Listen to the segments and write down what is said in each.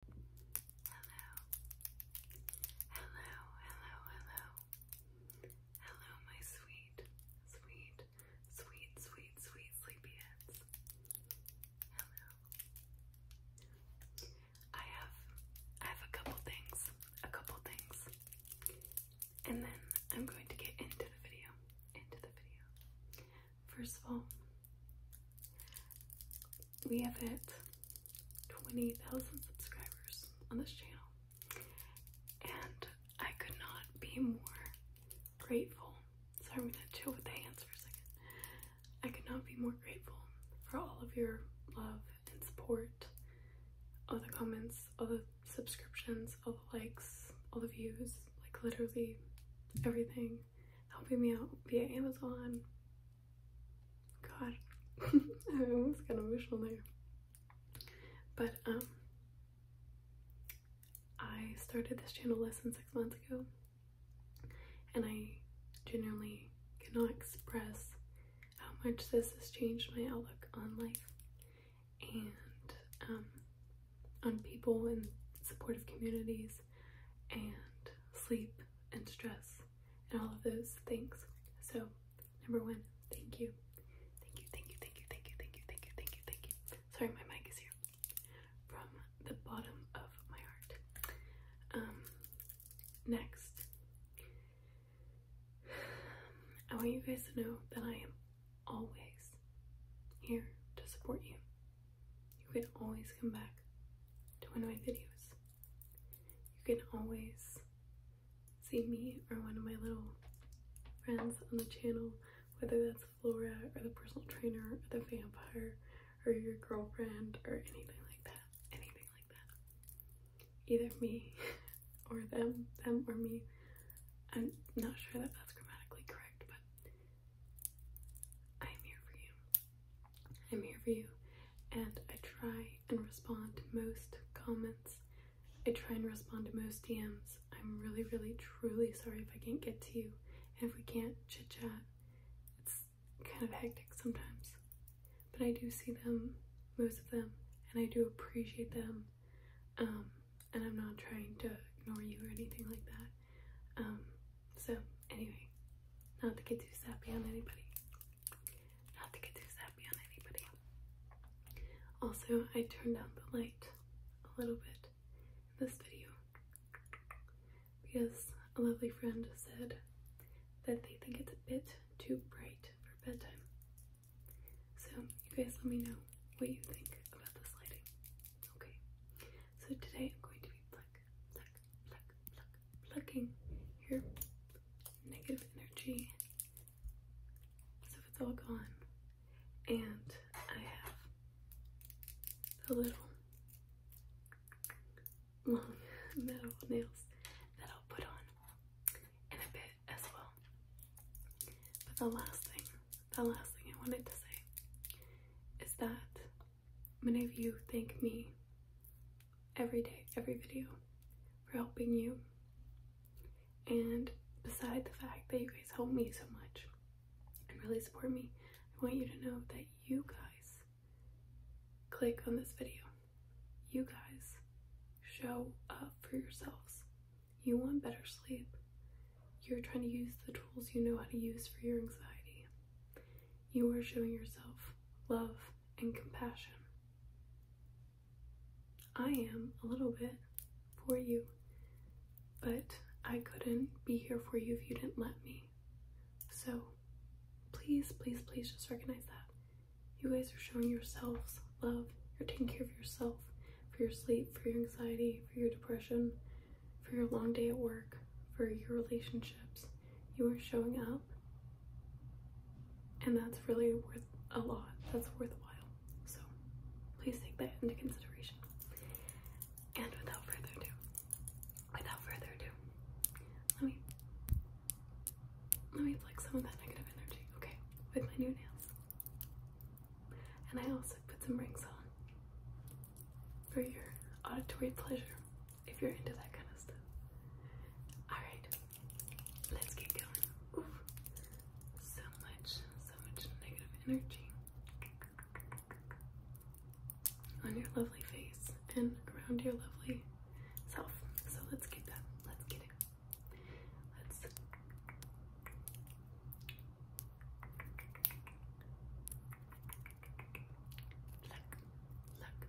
hello, hello, hello, hello, my sweet, sweet, sweet, sweet, sweet sleepyheads. Hello. I have, I have a couple things, a couple things, and then I'm going to get into the video, into the video. First of all, we have hit 20,000 subscribers on this channel, and I could not be more grateful. Sorry, I'm gonna chill with the hands for a second. I could not be more grateful for all of your love and support, all the comments, all the subscriptions, all the likes, all the views, like literally everything helping me out via Amazon, God, I was got of emotional there. But um, I started this channel less than six months ago, and I genuinely cannot express how much this has changed my outlook on life and um, on people and supportive communities and sleep and stress and all of those things. So, number one, thank you. Thank you, thank you, thank you, thank you, thank you, thank you, thank you, thank you. Sorry, my mic is here. From the bottom of my heart. Um, next, I want you guys to know that I am always here to support you. You can always come back to one of my videos you can always see me or one of my little friends on the channel, whether that's Flora or the personal trainer or the vampire or your girlfriend or anything like that. Anything like that. Either me or them, them or me. I'm not sure that that's grammatically correct, but I'm here for you. I'm here for you. And I try and respond to most comments. I try and respond to most DMs. I'm really, really, truly sorry if I can't get to you. And if we can't chit chat, it's kind of hectic sometimes. But I do see them, most of them, and I do appreciate them. Um, and I'm not trying to ignore you or anything like that. Um, so anyway, not to get too sappy on anybody. Not to get too sappy on anybody. Also, I turned down the light a little bit in this video because a lovely friend said that they think it's a bit too bright for bedtime. So you guys let me know what you think about this lighting. Okay. So today I'm going to be black, plucking your negative energy. So it's all gone. And I have the little long metal nails that I'll put on in a bit as well. But the last thing, the last thing I wanted to say is that many of you thank me every day, every video for helping you. And beside the fact that you guys help me so much and really support me, I want you to know that you guys click on this video. You guys show up for yourselves. You want better sleep. You're trying to use the tools you know how to use for your anxiety. You are showing yourself love, and compassion. I am a little bit for you, but I couldn't be here for you if you didn't let me. So please, please, please just recognize that. You guys are showing yourselves love. You're taking care of yourself for your sleep, for your anxiety, for your depression, for your long day at work, for your relationships, you are showing up. And that's really worth a lot. That's worthwhile. So please take that into consideration. And without further ado, without further ado, let me let me flex some of that negative energy, okay? With my new nails. And I also put some rings on for your auditory pleasure if you're into that kind of stuff. Alright, let's get going. So much, so much negative energy on your lovely face and around your lovely self. So let's get that. Let's get it. Let's Look, look,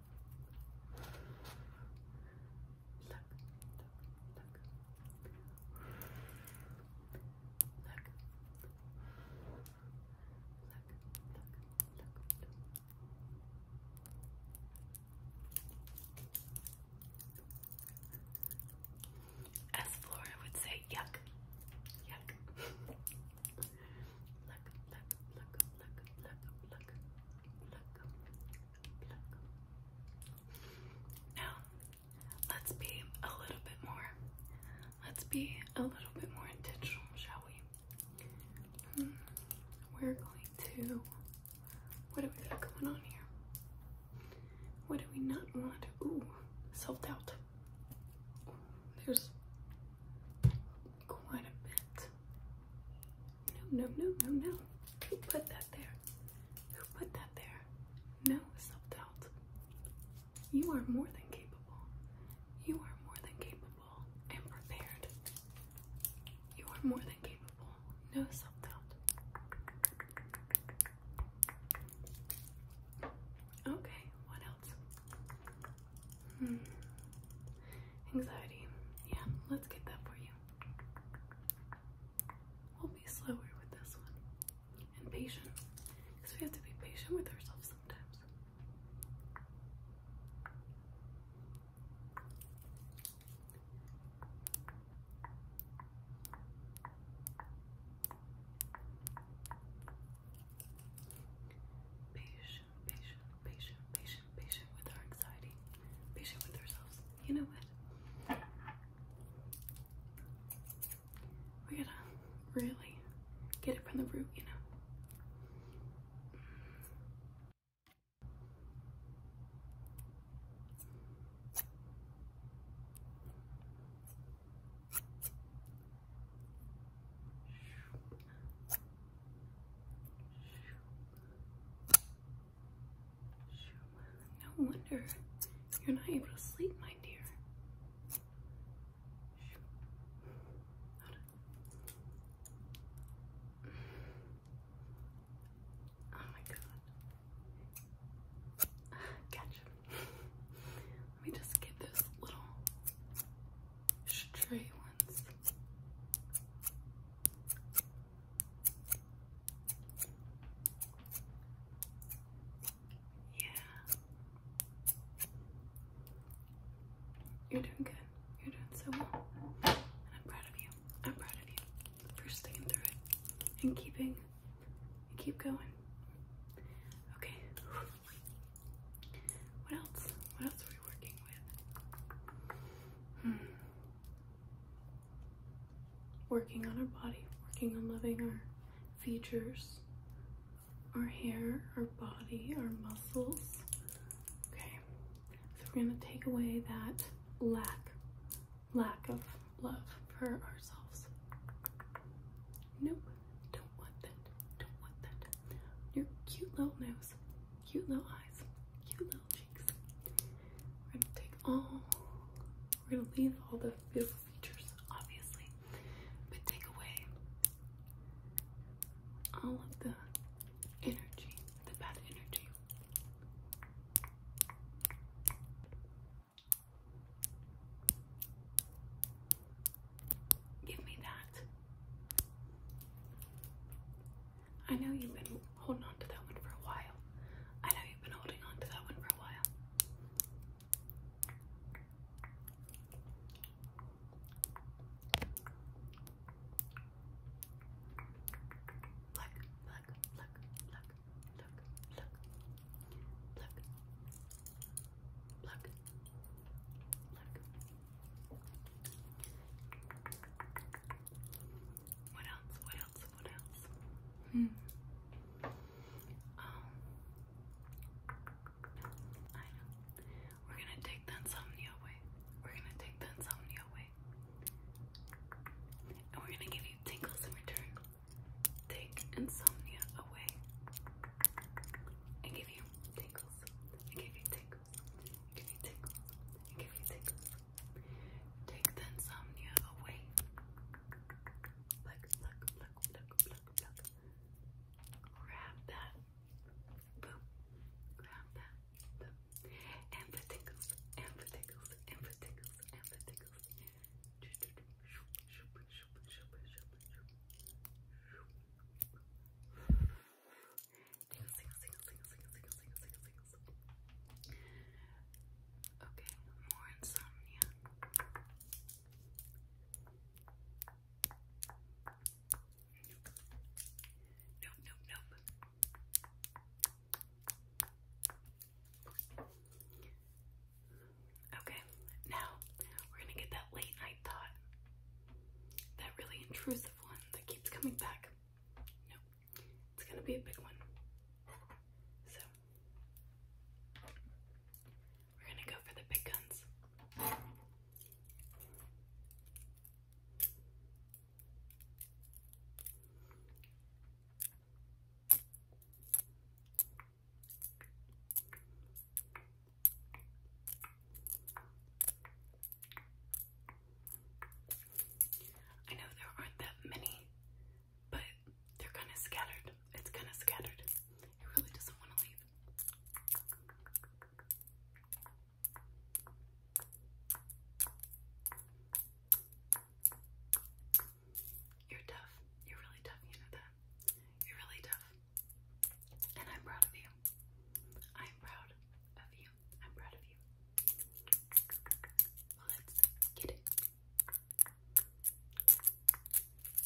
Look, look, look. Look. Look, look, look, look. As Flora would say, yuck, yuck. look, look, look, look, look, look, look, look, now, let's be a little bit more. Let's be a little bit more intentional, shall we? Hmm, we're going to. What do we got going on here? What do we not want? Ooh, self doubt. There's quite a bit no, no, no, no, Who put that there? Who put that there? No self-doubt. You are more than capable. You are more than capable and prepared. You are more than capable. No doubt Okay, what else? Hmm. Anxiety. Yeah, let's get that for you. We'll be slower with this one and patient because we have to be patient with ourselves sometimes. Patient, patient, patient, patient, patient, with our anxiety, patient with ourselves. You know what? We gotta really get it from the root, you know. No wonder you're not able to sleep, my dear. Oh my god. Catch him. Let me just get those little stray ones. Yeah. You're doing good. You're doing so well. And I'm proud of you. I'm proud of you for sticking through it and keeping keep going. Okay. What else? What else are we working with? Hmm working on our body, working on loving our features, our hair, our body, our muscles. Okay, so we're going to take away that lack, lack of love for ourselves. Nope, don't want that, don't want that. Your cute little nose, cute little eyes, cute little cheeks. We're gonna take all, we're gonna leave all the beautiful features, obviously, but take away all of the energy, the bad energy. Give me that. I know you've been holding on to that one for a while. I know you've been holding on to that one for a while. Look, look, look, look, look, look, look, look, what else? What else? What else? Hmm. Um, I know. We're gonna take the insomnia away. We're gonna take the insomnia away. And we're gonna give you tingles in return. Take insomnia away. And give you tingles. And give you tingles. Give you tickles. Give me tickles. Take the insomnia away. Look, look, look, look, look, look. Grab that. Boom. Grab that. Boom. And the tickles. And Tingles, tingles, Okay, more insomnia. Nope, nope, nope. Okay, now we're gonna get that late night thought. That really intrusive one that keeps coming back. Nope. It's gonna be a big one. So, we're gonna go for the big guns. I know there aren't that many, but they're kind of scattered. It's kind of scattered. It really doesn't want to leave. You're tough. You're really tough, you know that. You're really tough. And I'm proud of you. I'm proud of you you. I'm proud of you. let's get it.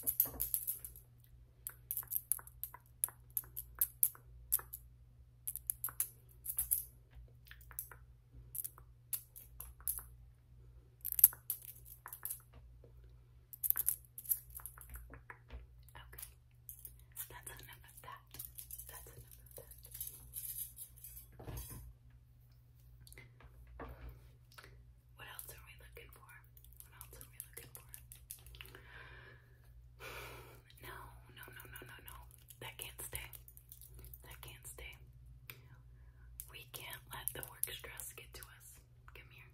Okay, that's enough of that. That's enough of that. What else are we looking for? What else are we looking for? No, no, no, no, no, no. That can't stay. That can't stay. We can't let the work stress get to us. Come here.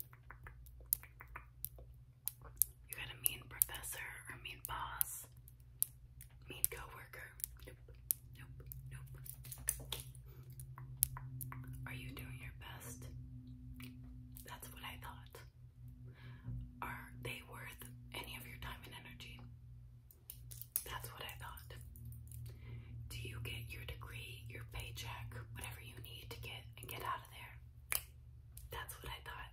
You got a mean professor or mean boss. Need coworker. Nope. Nope. Nope. Are you doing your best? That's what I thought. Are they worth any of your time and energy? That's what I thought. Do you get your degree, your paycheck, whatever you need to get and get out of there? That's what I thought.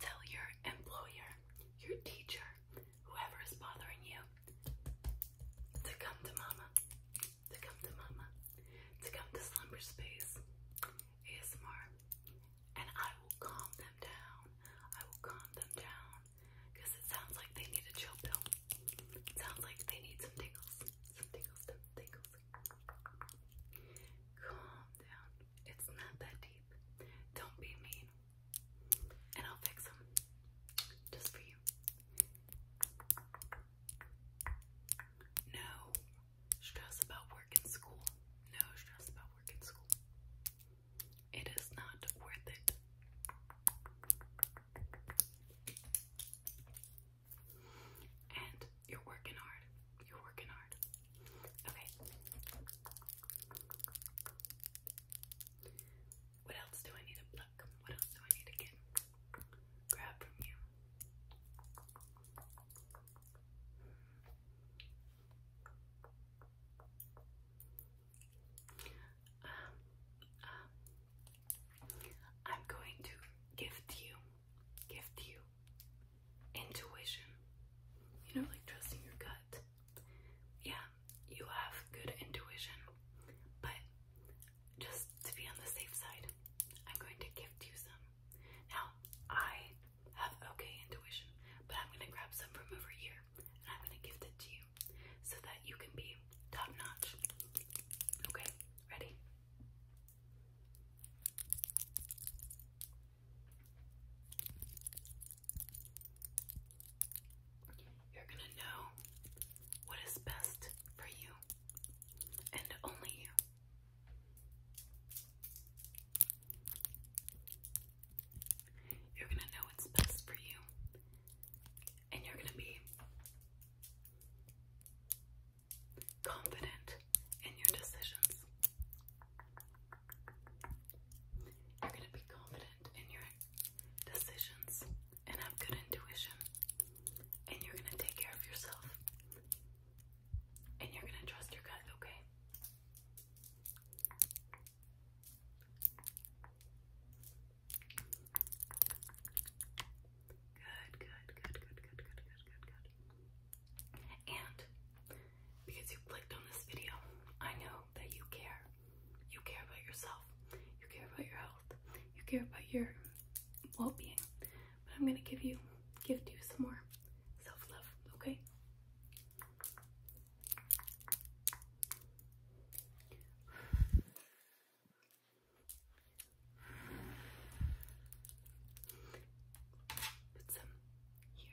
Tell your employer, your teacher, whoever is bothering you to come to mama, to come to mama, to come to Slumber Space ASMR, and I will calm them down. I will calm them down because it sounds like they need a chill pill. It sounds like they need some tingles, some tingles, some tingles. Calm down. It's not that deep. Don't be mean. And I'll fix them. Just for you. No stress about work and school. No stress about work and school. It is not worth it. And you're working hard. You're working hard. Okay. What else do I need to What else do I need to get? Grab from you. Um, um, I'm going to gift you, gift you, intuition. You know, like trusting your gut. Yeah, you have good intuition, but just to be on the safe side, I'm going to gift you some. Now, I have okay intuition, but I'm going to grab some from over here and I'm going to gift it to you so that you can be top notch. Okay, ready? You're gonna know what is best for you and only you. You're gonna know what's best for you and you're gonna be confident in your decisions. You're going to be confident in your decisions and have good intuition. And you're going to take care of yourself. And you're going to trust your gut, okay? Good, good, good, good, good, good, good, good, good. And because you clicked on this video, I know that you care. You care about yourself. You care about your health. You care about your well-being. But I'm gonna give you, give you some more self-love, okay? Put some here.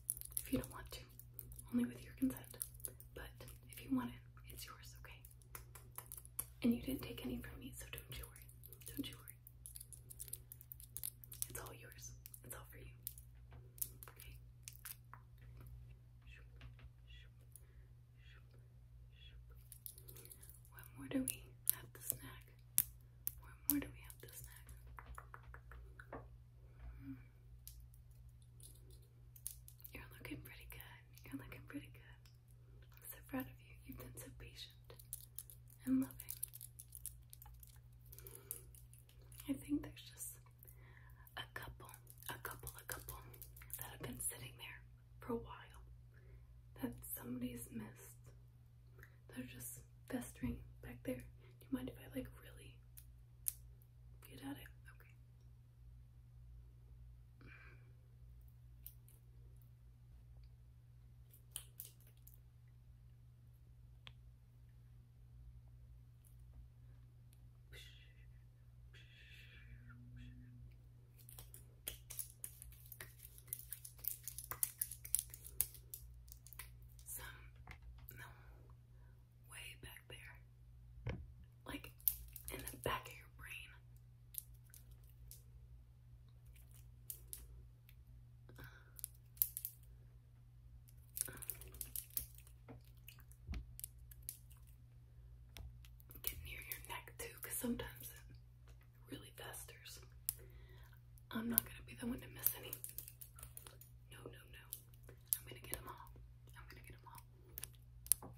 if you don't want to, only with your consent. But if you want it, it's yours, okay? And you didn't take any from me, so don't you worry. Don't you worry. It's all yours. It's all for you. Okay? What more do we have to snack? What more do we have to snack? Hmm. You're looking pretty good. You're looking pretty good. I'm so proud of you. You've been so patient and loving. I think there's just a couple, a couple, a couple that have been sitting there for a while that somebody's missed. They're just festering back there. Do you mind if I like really Get at it? Okay. Some no way back there. Like in the back of your brain. Get near your neck too, because sometimes really festers. I'm not gonna be the one to miss any. No, no, no. I'm gonna get them all. I'm gonna get them all.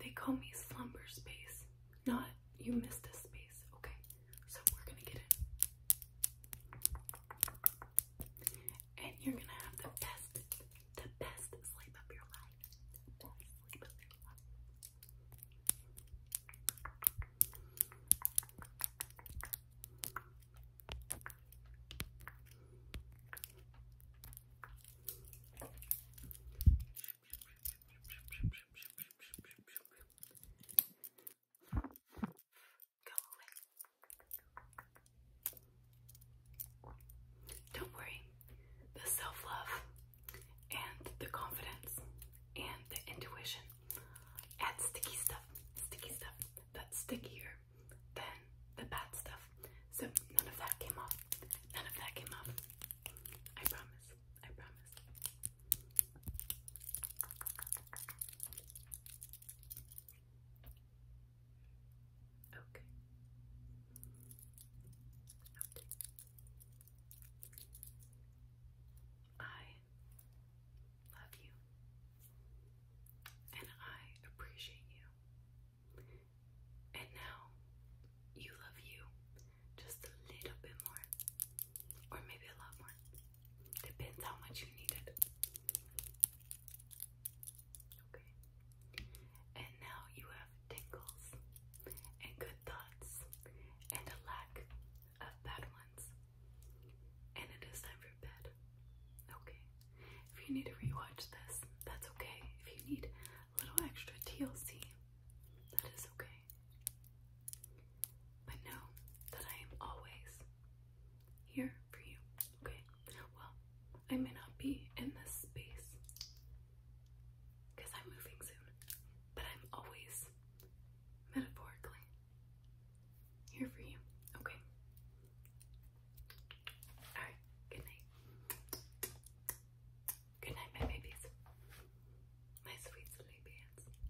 They call me slumber space, not you missed a space. Okay, so we're gonna get it and you're gonna have the best, the best sleep of your life. sleep of your life. Don't worry. The self love and the confidence and the intuition add sticky stuff, sticky stuff that's stickier than the bad stuff. So none of that came off. None of that came off. I promise. I promise. Okay. Nothing. I love you. And I appreciate you. And now you love you just a little bit more. Or maybe a lot more. Depends how much you need it. Okay. And now you have tingles and good thoughts and a lack of bad ones. And it is time for bed. Okay. If you need to rewatch this, that's okay. If you need a little extra TLC, that is okay. But know that I am always here for you. Okay. Well, I may not be in this space because I'm moving soon, but I'm always metaphorically here for you. Okay. All right. Good night. Good night, my babies. My sweet sleepy ants.